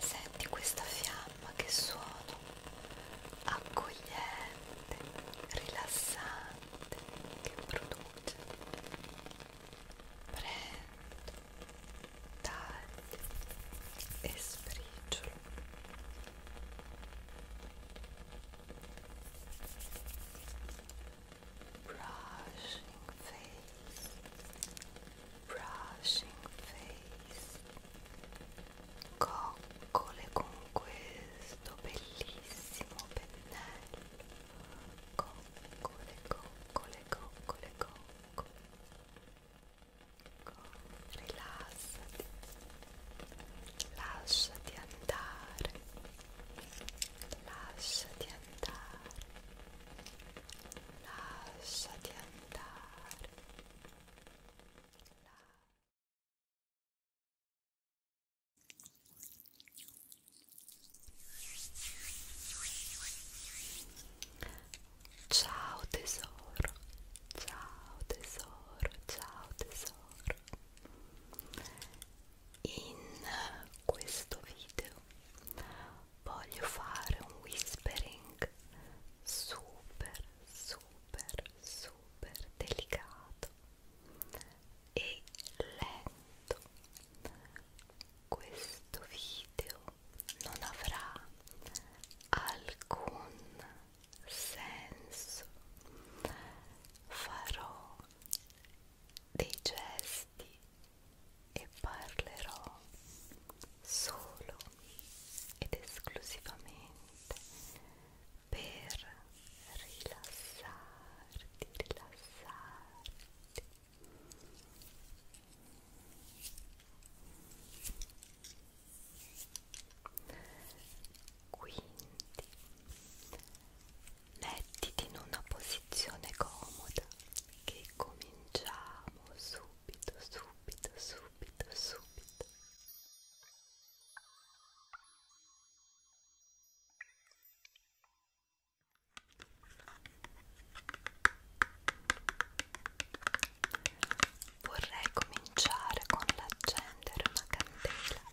Senti questa fiamma che suono accogliente, rilassante che produce. Prendo, taglio e sprigio brushing face, brushing face, coccole con questo bellissimo pennello, coccole, coccole, coccole, coccole, rilassati, lasciati andare lasciati andare, lasciati andare. Ciao tesoro, ciao tesoro, ciao tesoro in questo video voglio fare un whispering super super super delicato e lento questo video non avrà alcun senso farò dei gesti e parlerò solo ed esclusivamente per rilassarti, rilassarti. Quindi mettiti in una posizione comoda che cominciamo subito, subito, subito, subito. Vorrei cominciare con l'accendere una candela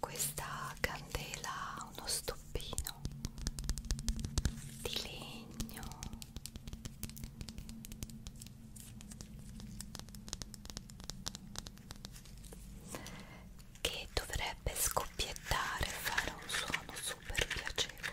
questa candela ha uno stoppino di legno che dovrebbe scoppiettare e fare un suono super piacevole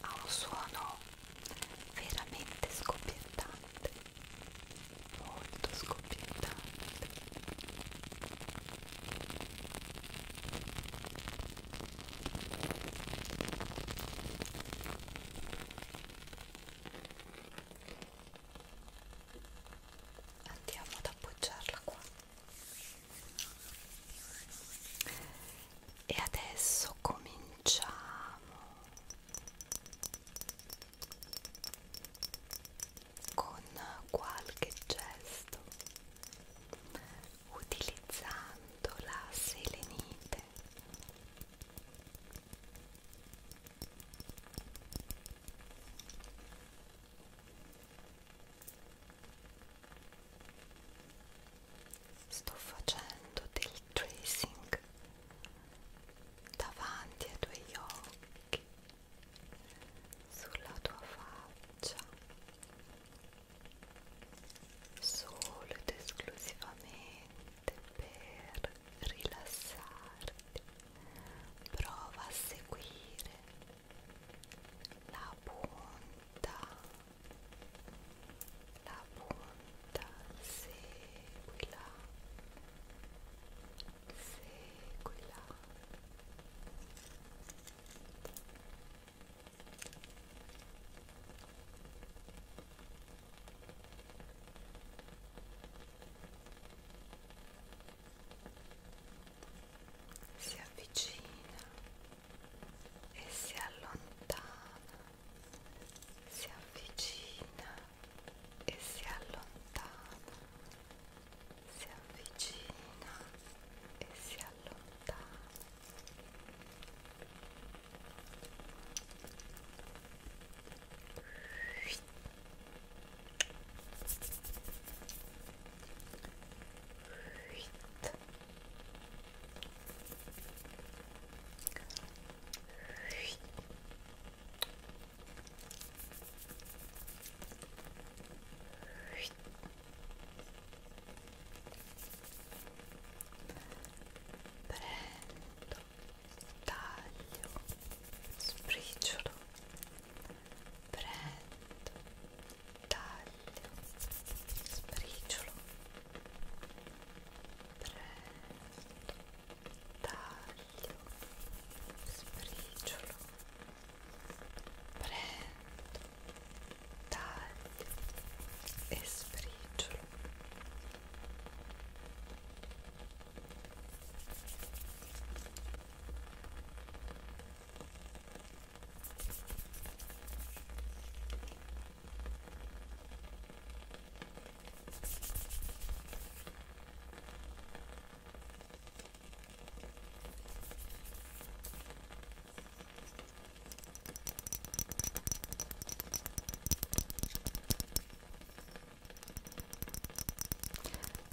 ha un suono veramente scoppiettante molto scoppiettante Andiamo ad appoggiarla qua. E adesso cominciamo con qualche gesto utilizzando la selenite sto facendo del tracing davanti ai tuoi occhi sulla tua faccia solo ed esclusivamente per rilassarti prova a seguire la punta la punta seguila seguila si avvicina e si allontana si avvicina e si allontana si avvicina e si allontana Ui. Ui prendo taglio spricciolo prendo taglio spricciolo prendo taglio spricciolo prendo, taglio e sbriciolo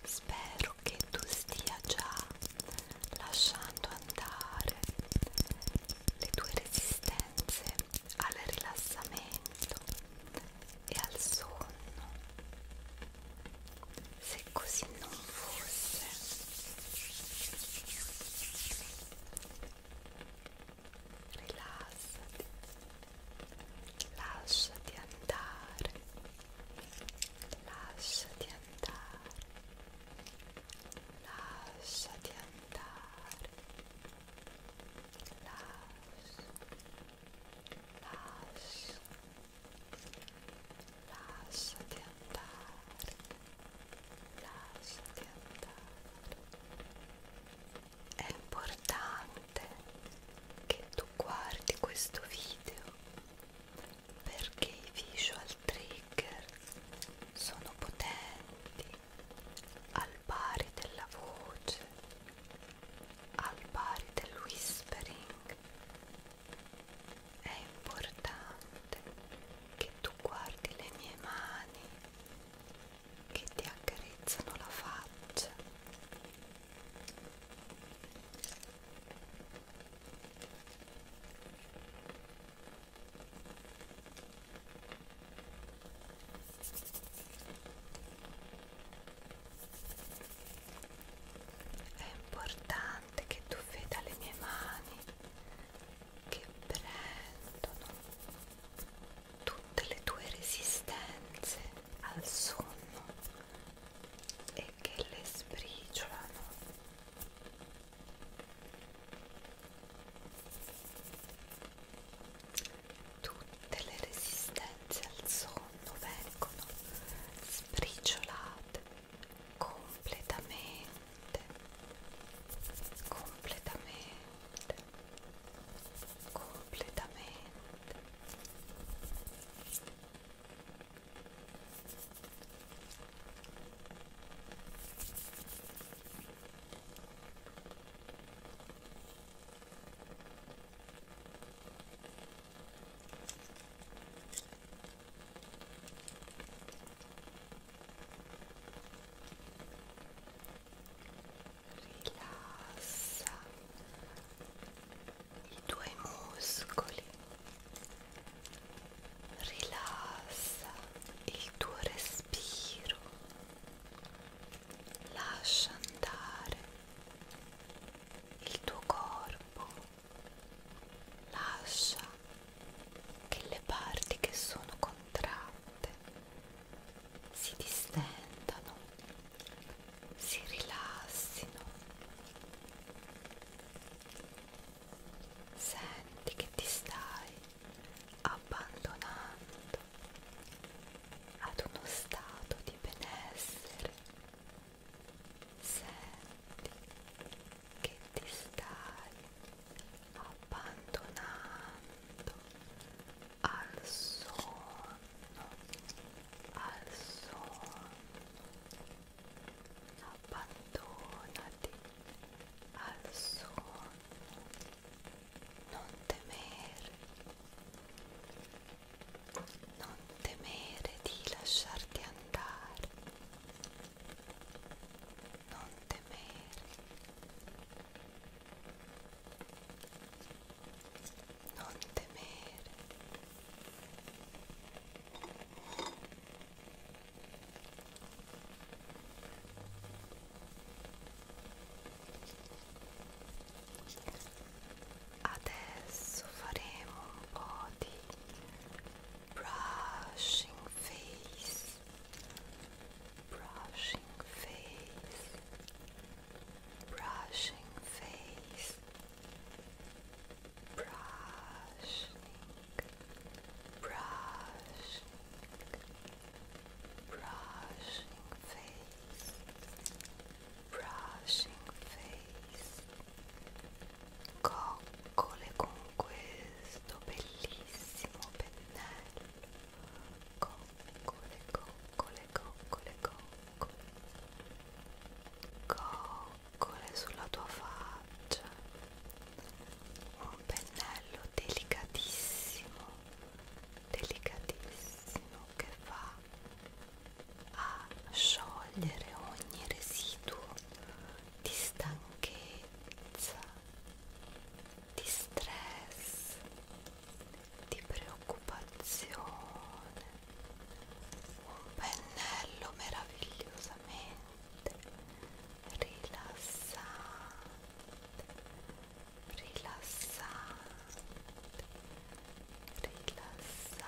Spero che tu stia già lasciando andare le tue resistenze al rilassamento e al sonno se così non fosse rilassati lasciati andare lasciati andare lasciati andare lascia lascia lascia Lasciati andare, lasciati andare. È importante che tu guardi questo video perché i visual trigger sono potenti al pari della voce, al pari del whispering è importante che tu guardi le mie mani che ti accarezzano la faccia è importante tante che tu fai dalle mie mani che prendono tutte le tue resistenze al sonno e che le sbriciolano tutte le resistenze al sonno vengono sbriciolate completamente completamente completamente Completamente Rilassa i tuoi muscoli, rilassa il tuo respiro, lascia andare il tuo corpo lascia che le parti che sono contratte si distendano, si rilassino. Senti che ti stai abbandonando ad uno stato di benessere senti che ti stai abbandonando al sonno, al sonno, abbandonati al sonno, non temere, non temere di lasciarti andare non temere, non temere. Adesso faremo un po' di brushing face, brushing face, brushing face, brushing, brushing, brushing face, brushing face. coccole con questo bellissimo pennello coccole coccole coccole coccole coccole sulla tua faccia un pennello delicatissimo delicatissimo che va a sciogliere ogni residuo di stanchezza, di stress, di preoccupazione, un pennello meravigliosamente rilassante, rilassante, rilassante.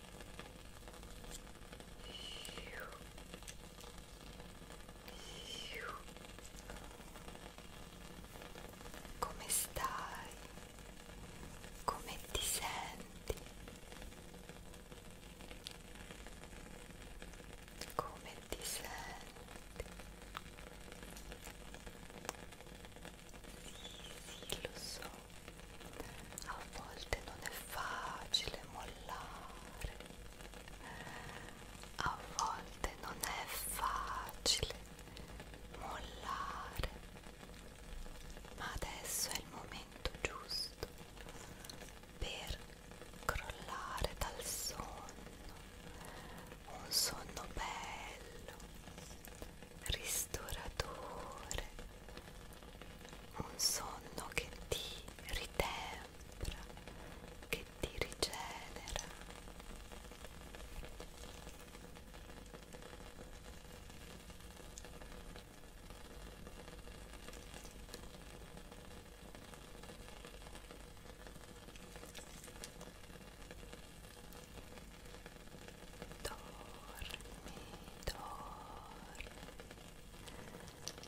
Come stai? Come ti senti? Come ti senti? Sì, sì, lo so a volte non è facile mollare, a volte non è facile mollare, ma adesso è il momento giusto per crollare dal sonno, un sonno bello, ristoratore un sonno che ti ritempra, che ti rigenera. Dormi, dormi,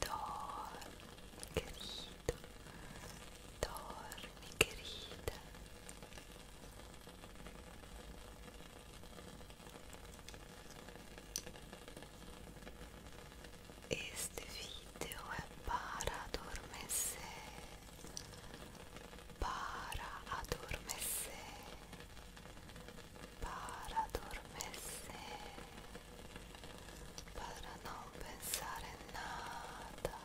Dorme, querido. Dorme, querida. Este vídeo é para adormecer, para adormecer, para adormecer. para no pensar en nada,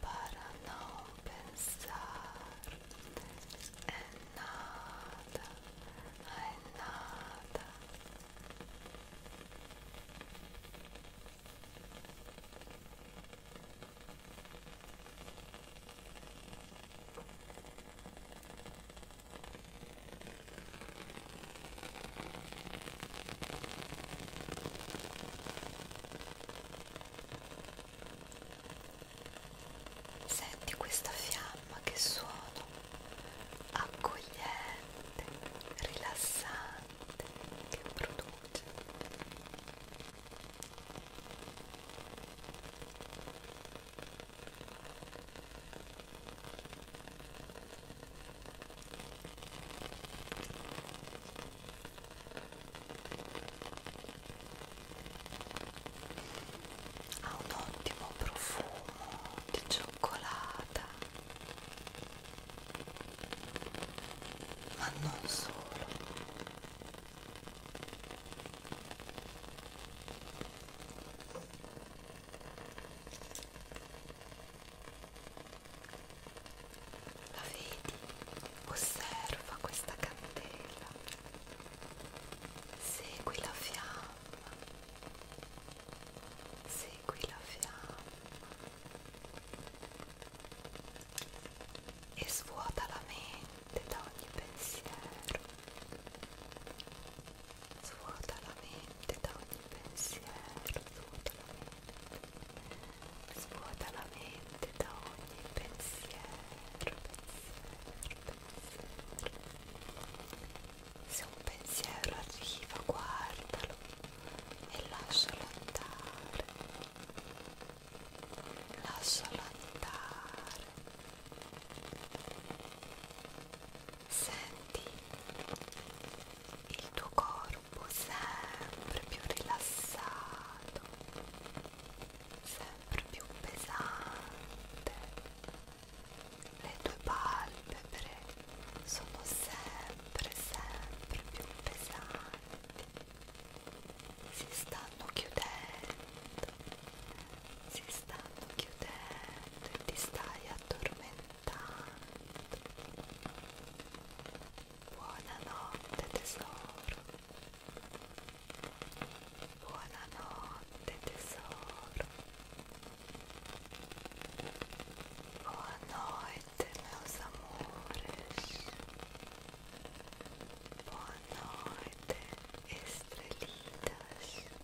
para no pensar en nada, en nada. Senti questa fiamma che suono accogliente, rilassante che produce ha un ottimo profumo di cioccolata ma non solo la vedi? Osserva questa candela. Segui la fiamma. Segui la fiamma. E svuota la mente da ogni pensiero svuota la mente da ogni pensiero, svuota la mente, svuota la mente da ogni pensiero, pensiero, pensiero. Se un pensiero arriva, guardalo e lascialo andare, lascialo andare. Senti il tuo corpo sempre più rilassato, sempre più pesante, le tue palpebre sono sempre sempre più pesanti, si stanno chiudendo, si stanno chiudendo e ti stai addormentando. Buonanotte tesoro. Buonanotte tesoro. Buonanotte meus amores. Boa noite, estrelitas.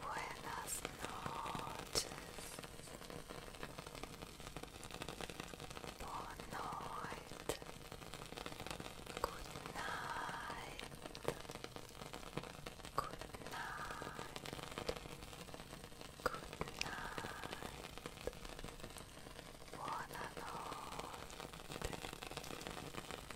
Buenas noches. Boa noite. Good night. Good night. Good night. Buona notte.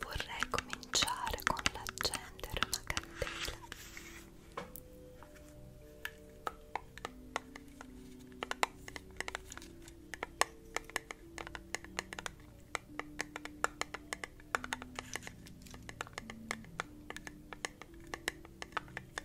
Vorrei cominciare con l'accendere una candela.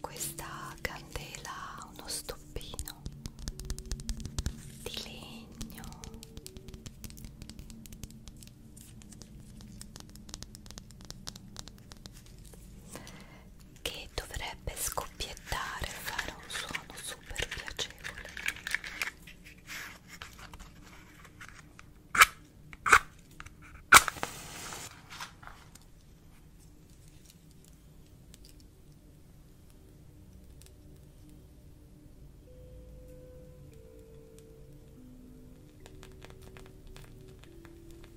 Questa candela ha uno stoppino di legno che dovrebbe scoppiettare e fare un suono super piacevole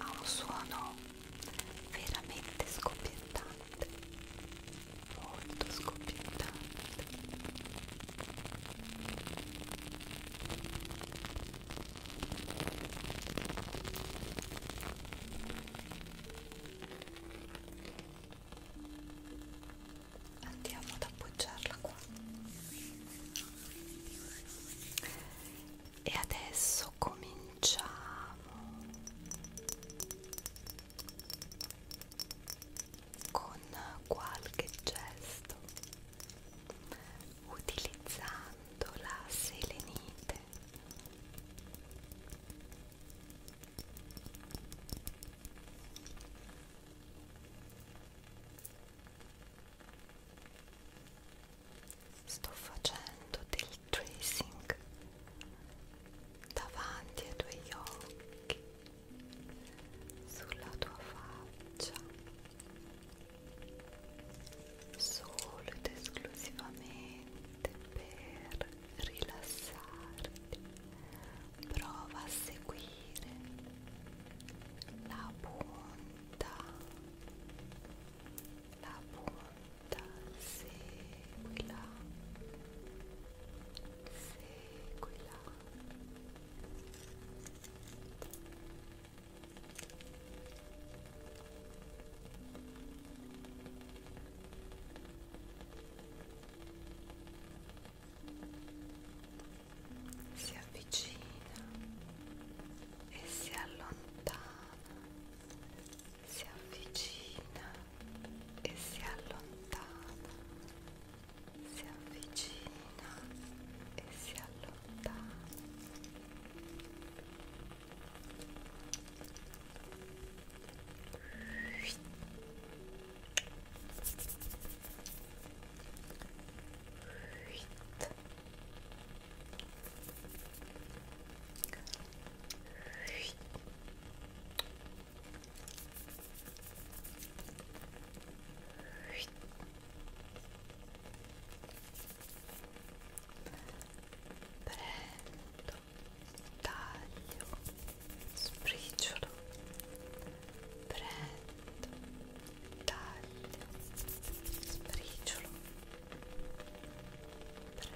ha un suono veramente scoppiettante molto scoppiettante andiamo ad appoggiarla qua e adesso cominciamo con qualche gesto utilizzando la selenite sto facendo del tracing davanti ai tuoi occhi sulla tua faccia solo ed esclusivamente per rilassarti prova a seguire la punta la punta seguila seguila Ecco si avvicina e si allontana, si avvicina e si allontana, si avvicina e si allontana prendo taglio spricciolo prendo, taglio, spriciolo, prendo,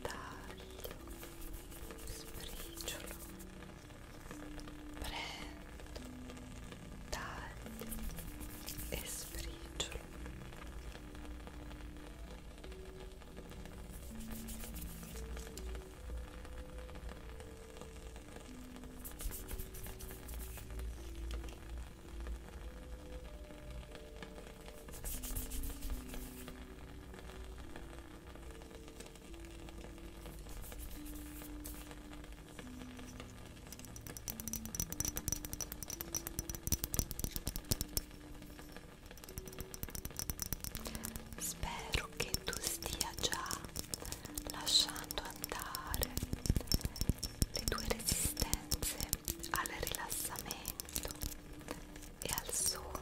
taglio, spriciolo, prendo, taglio e spriciolo. Spero che tu stia già lasciando andare le tue resistenze al rilassamento e al sonno.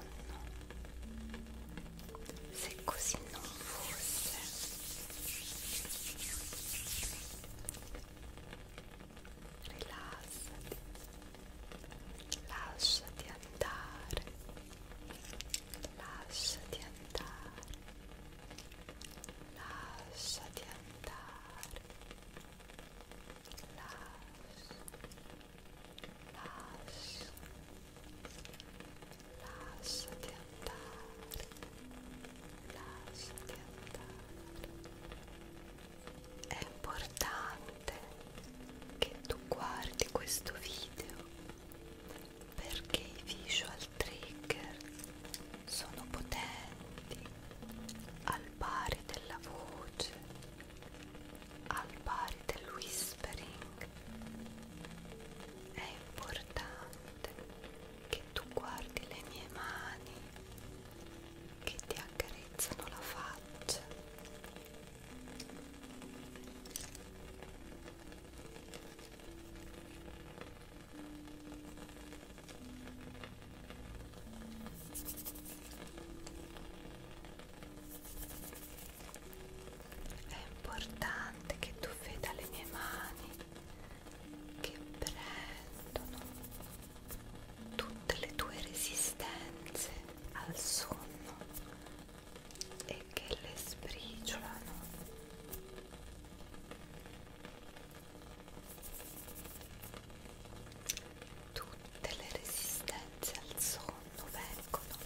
Se così non fosse, rilassati, lasciati andare, lasciati andare lasciati andare lascia lascia lasciati andare lasciati andare è importante che tu guardi questo video perché i visual trigger sono potenti al pari della voce, al pari del whispering. È importante che tu guardi le mie mani che ti accarezzano la faccia. È importante che tu veda le mie mani che prendono tutte le tue resistenze al sonno e che le sbriciolano tutte le resistenze al sonno vengono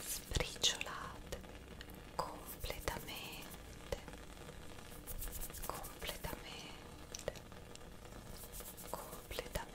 sbriciolate completamente completamente completamente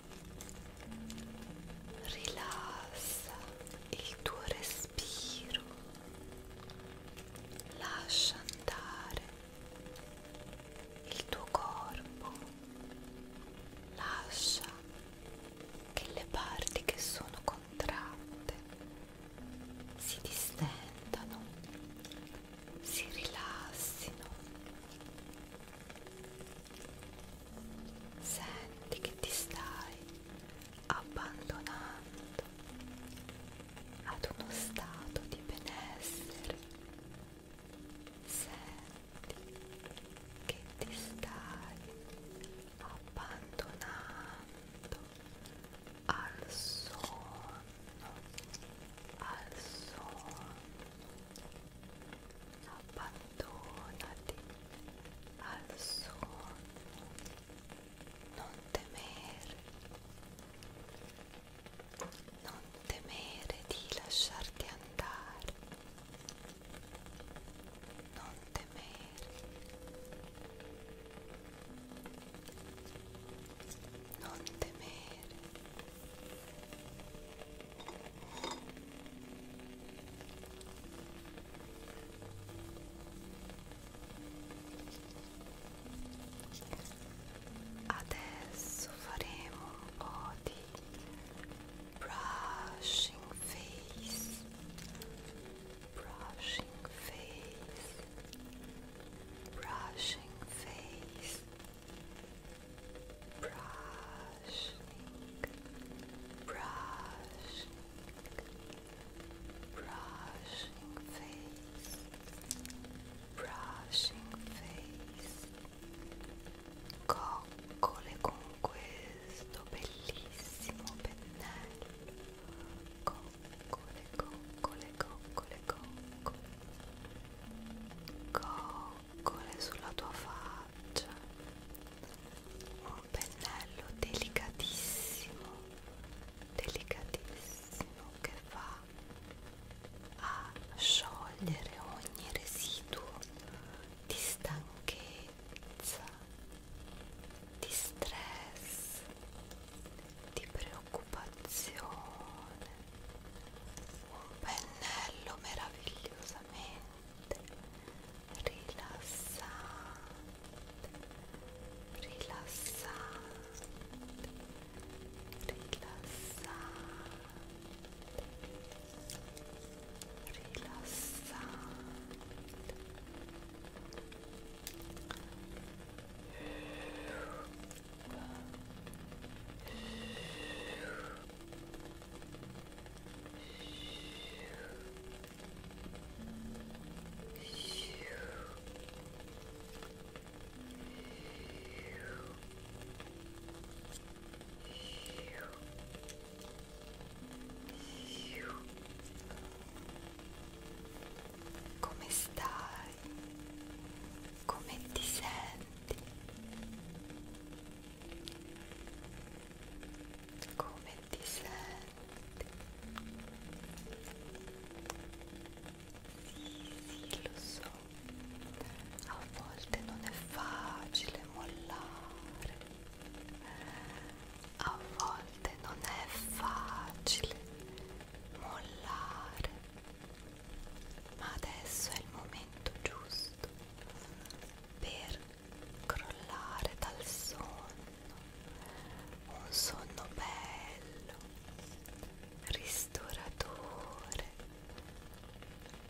Rilassa il tuo respiro, lascia andare il tuo corpo, lascia che le parti che sono contratte si distendano, si rilassino senti che ti stai abbandonando ad uno stato di benessere senti che ti stai abbandonando al sonno al sonno abbandonati al suono, non temere, non temere di lasciarti andare, non temere, non temere. Adesso faremo un po' di brushing face, brushing face, brushing face, brushing face brushing, brushing, brushing face, brushing face, coccole con questo bellissimo pennello, coccole, coccole, coccole, coccole. Coccole, boccole sulla tua faccia un pennello delicatissimo delicatissimo che va a sciogliere ogni residuo di stanchezza di stress di preoccupazione un pennello meravigliosamente rilassante, rilassante, rilassante, rilassante. Come stai? Come ti senti? Come ti senti? Sì, sì, lo so. A volte non è facile mollare. A volte non è facile mollare. Ma adesso è il momento giusto per crollare dal sonno, un sonno bello, ristoratore,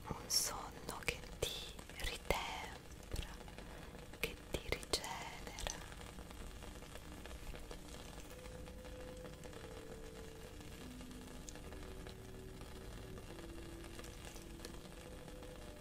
un sonno che ti ritempra, che ti rigenera.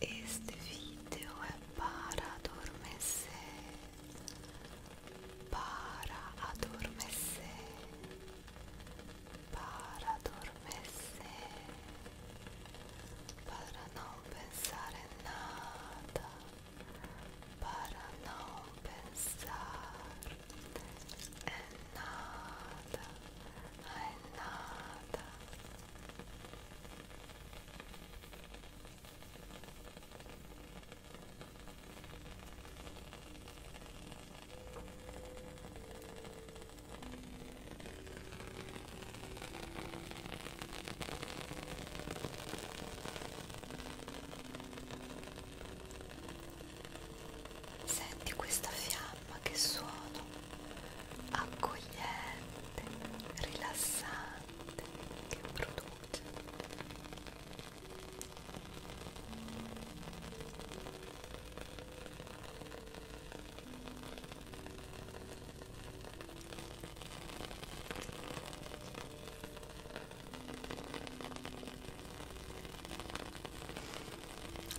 Este video é para adormecer, para adormecer, para adormecer, para não pensar em nada, para não pensar em nada, em nada. Senti questa fiamma che suono accogliente rilassante, rilassante che produce.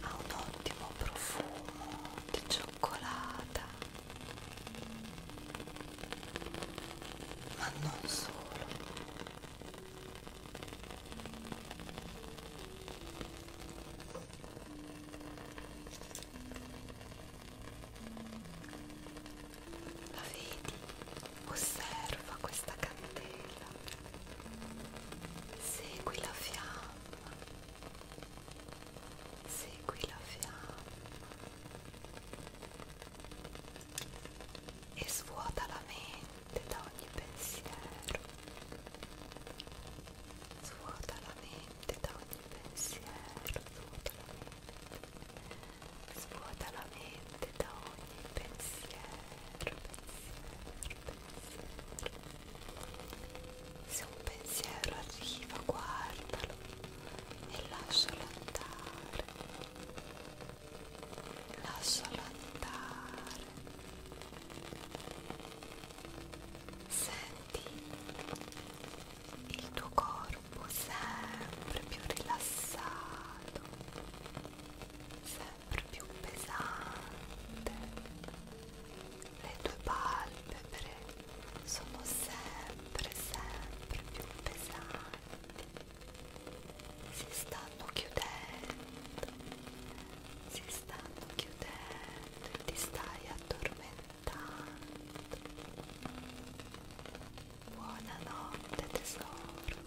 Ha un ottimo profumo di cioccolata ma non solo la vedi? Osserva questa candela, segui la fiamma Segui la fiamma e svuota la mente da ogni pensiero. Svuota la mente da ogni pensiero. Svuota la mente. Svuota la mente da ogni pensiero. pensiero, pensiero. Se un pensiero arriva, guardalo e lascialo andare lascialo andare senti il tuo corpo sempre più rilassato sempre più pesante le tue palpebre sono sempre sempre più pesanti si stanno chiudendo si stanno chiudendo e ti stai addormentando buonanotte tesoro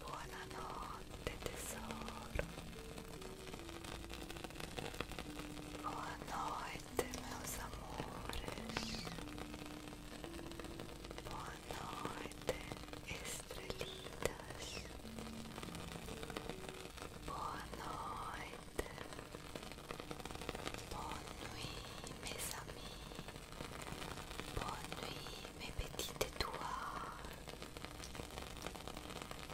buonanotte tesoro Boa noite, meus amores. Boa noite, estrelitas. Boa noite. Boa nuit, mes amis. Boa nuit, mes petites étoiles.